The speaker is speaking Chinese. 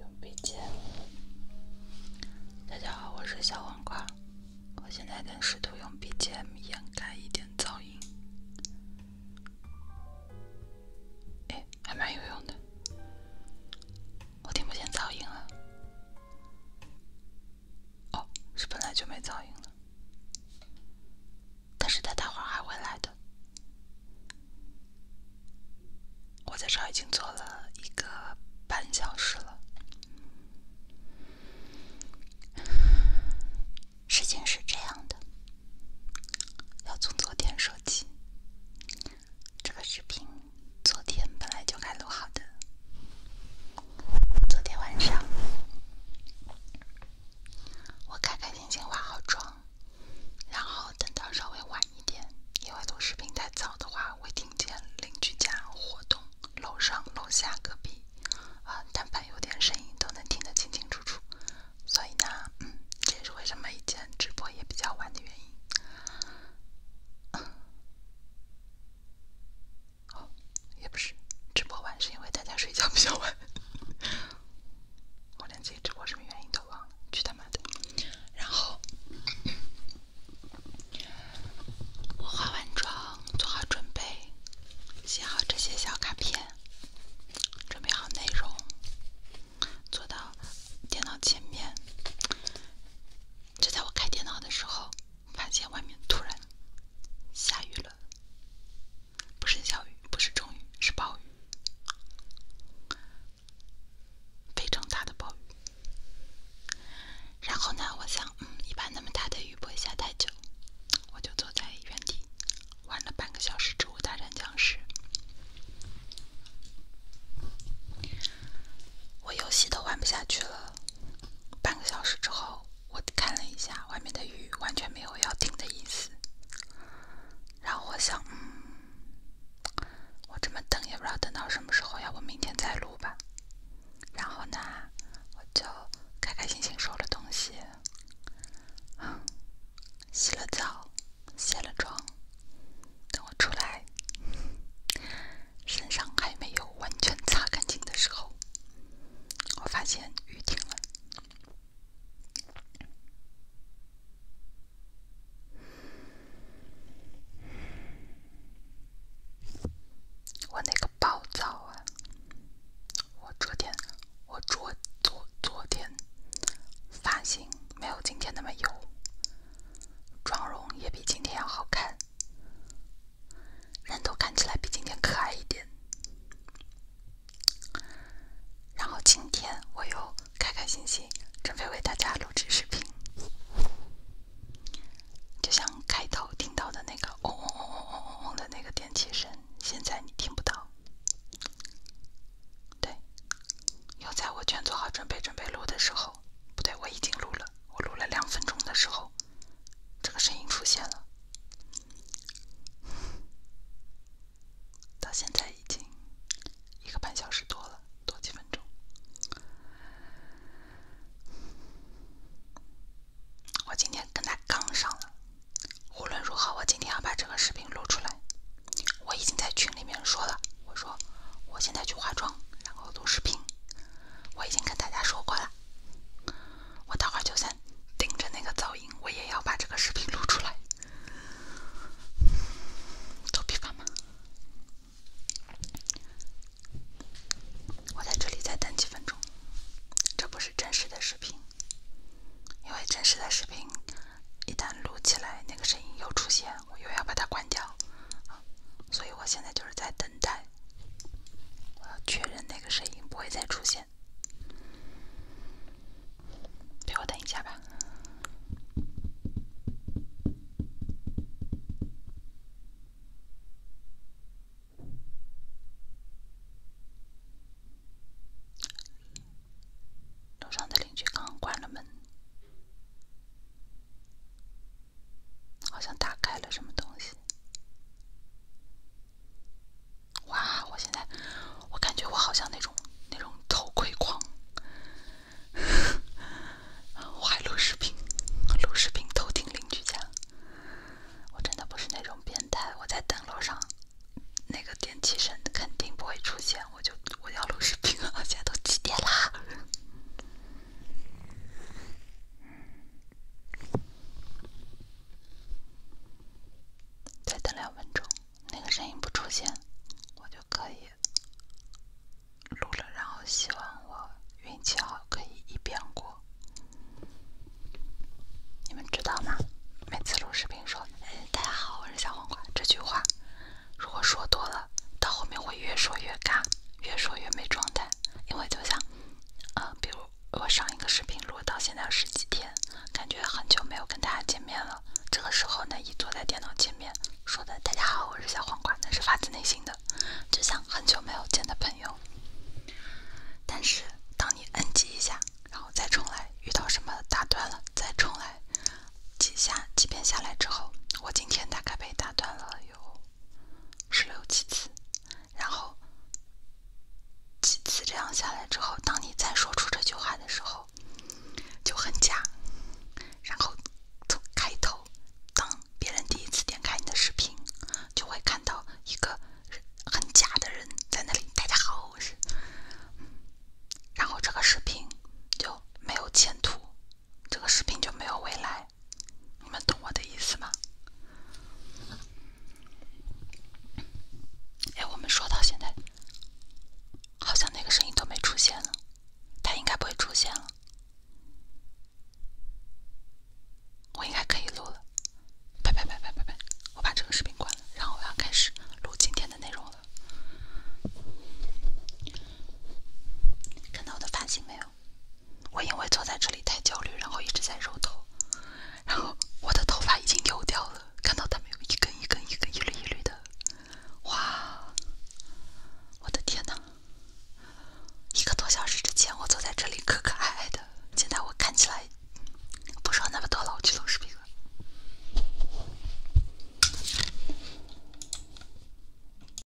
用 BGM。大家好，我是小黄瓜，我现在在试图用 BGM 掩盖一点噪音。哎，还蛮有用的。我听不见噪音了。哦，是本来就没噪音了。但是他待会儿还会来的。我在这已经坐了一个半小时了。事情是这样的，要从昨天说起。这个视频昨天本来就该录好的，昨天晚上。我开开心心化好妆，然后等到稍微晚一点，因为录视频太早的话会听见邻居家活动，楼上楼下隔壁，啊，但凡有点声音都能听得清清楚楚。所以呢，这也是为什么以前直播也比较晚的原因。哦，也不是，直播晚是因为大家睡觉比较晚。我连自己直播什么原因都忘了，去他妈的！然后我化完妆，做好准备，写好这些小卡片，准备好内容，坐到电脑前面。就在我开电脑的时候，发现外面突然下雨了。不是小雨，不是中雨，是暴雨，非常大的暴雨。然后呢，我想，嗯，一般那么大的雨不会下太久，我就坐在原地玩了半个小时《植物大战僵尸》，我游戏都玩不下去了。半个小时之后。我看了一下外面的雨，完全没有要停的意思。然后我想，嗯，我这么等也不知道等到什么时候，要不明天再录吧。然后呢，我就开开心心收了东西，洗了澡，卸了妆。等我出来，身上还没有完全擦干净的时候，我发现雨停了。我那个暴躁啊！我昨天，我昨昨昨天发型没有今天那么油，妆容也比今天要好看。人都看起来比今天可爱一点，然后今天我又开开心心，准备为大家录制视频。就像开头听到的那个嗡嗡嗡嗡嗡嗡嗡的那个电机声，现在你听不到。对，又在我全做好准备准备录的时候，不对，我已经录了，我录了两分钟的时候。这个声音出现了，到现在已经一个半小时多了，多几分钟。我今天跟他杠上了，无论如何，我今天要把这个视频录出来。我已经在群里面说了，我说我现在去化妆，然后录视频。我已经跟大家说过了。我待会儿就算顶着那个噪音，我也要把这个视频录出来。头皮发麻，我在这里再等几分钟。这不是真实的视频，因为真实的视频一旦录起来，那个声音又出现，我又要把它关掉。所以我现在就是在等待。确认那个声音不会再出现，陪我等一下吧。楼上的邻居刚关了门。好像打开了什么东西！哇，我现在我感觉我好像那种那种偷窥狂，我还录视频，录视频偷听邻居家。我真的不是那种变态，我在等楼上那个电梯声，肯定不会出现。我就我要录视频啊，现在都几点啦？再等两分钟，那个声音不出现，我就可以录了。然后希望我运气好，可以一遍过。你们知道吗？每次录视频说“大家好，我是小黄瓜”这句话，如果说多了，到后面会越说越尬，越说越没状态，因为就像……嗯，比如我上一个视频录到现在十几天，感觉很久没有跟大家见面了。这个时候呢，一坐在电脑前面说的“大家好，我是小黄瓜”，那是发自内心的，就像很久没有见的朋友。但是当你摁几下，然后再重来，遇到什么打断了再重来几下，几遍下来之后，我今天大概被打断了有。十六七次，然后几次这样下来之后，当你再说出这句话的时候，就很假。然后从开头，当别人第一次点开你的视频，就会看到一个很假的人在那里。大家好，我是……然后这个视频就没有前途。这个视频就没有未来，你们懂我的意思吗？哎，我们说到现在，好像那个声音都没出现了，他应该不会出现了。我应该可以录了，拜拜拜拜拜拜！我把这个视频关了，然后我要开始录今天的内容了。看到我的发型没有？我因为坐在这里太焦虑，然后一直在揉头，然后我的头发已经油掉了，看到它们有一根一根、一根一缕一缕的，哇，我的天哪！一个多小时之前我坐在这里可可爱爱的，现在我看起来不说那么多了，我去录视频了。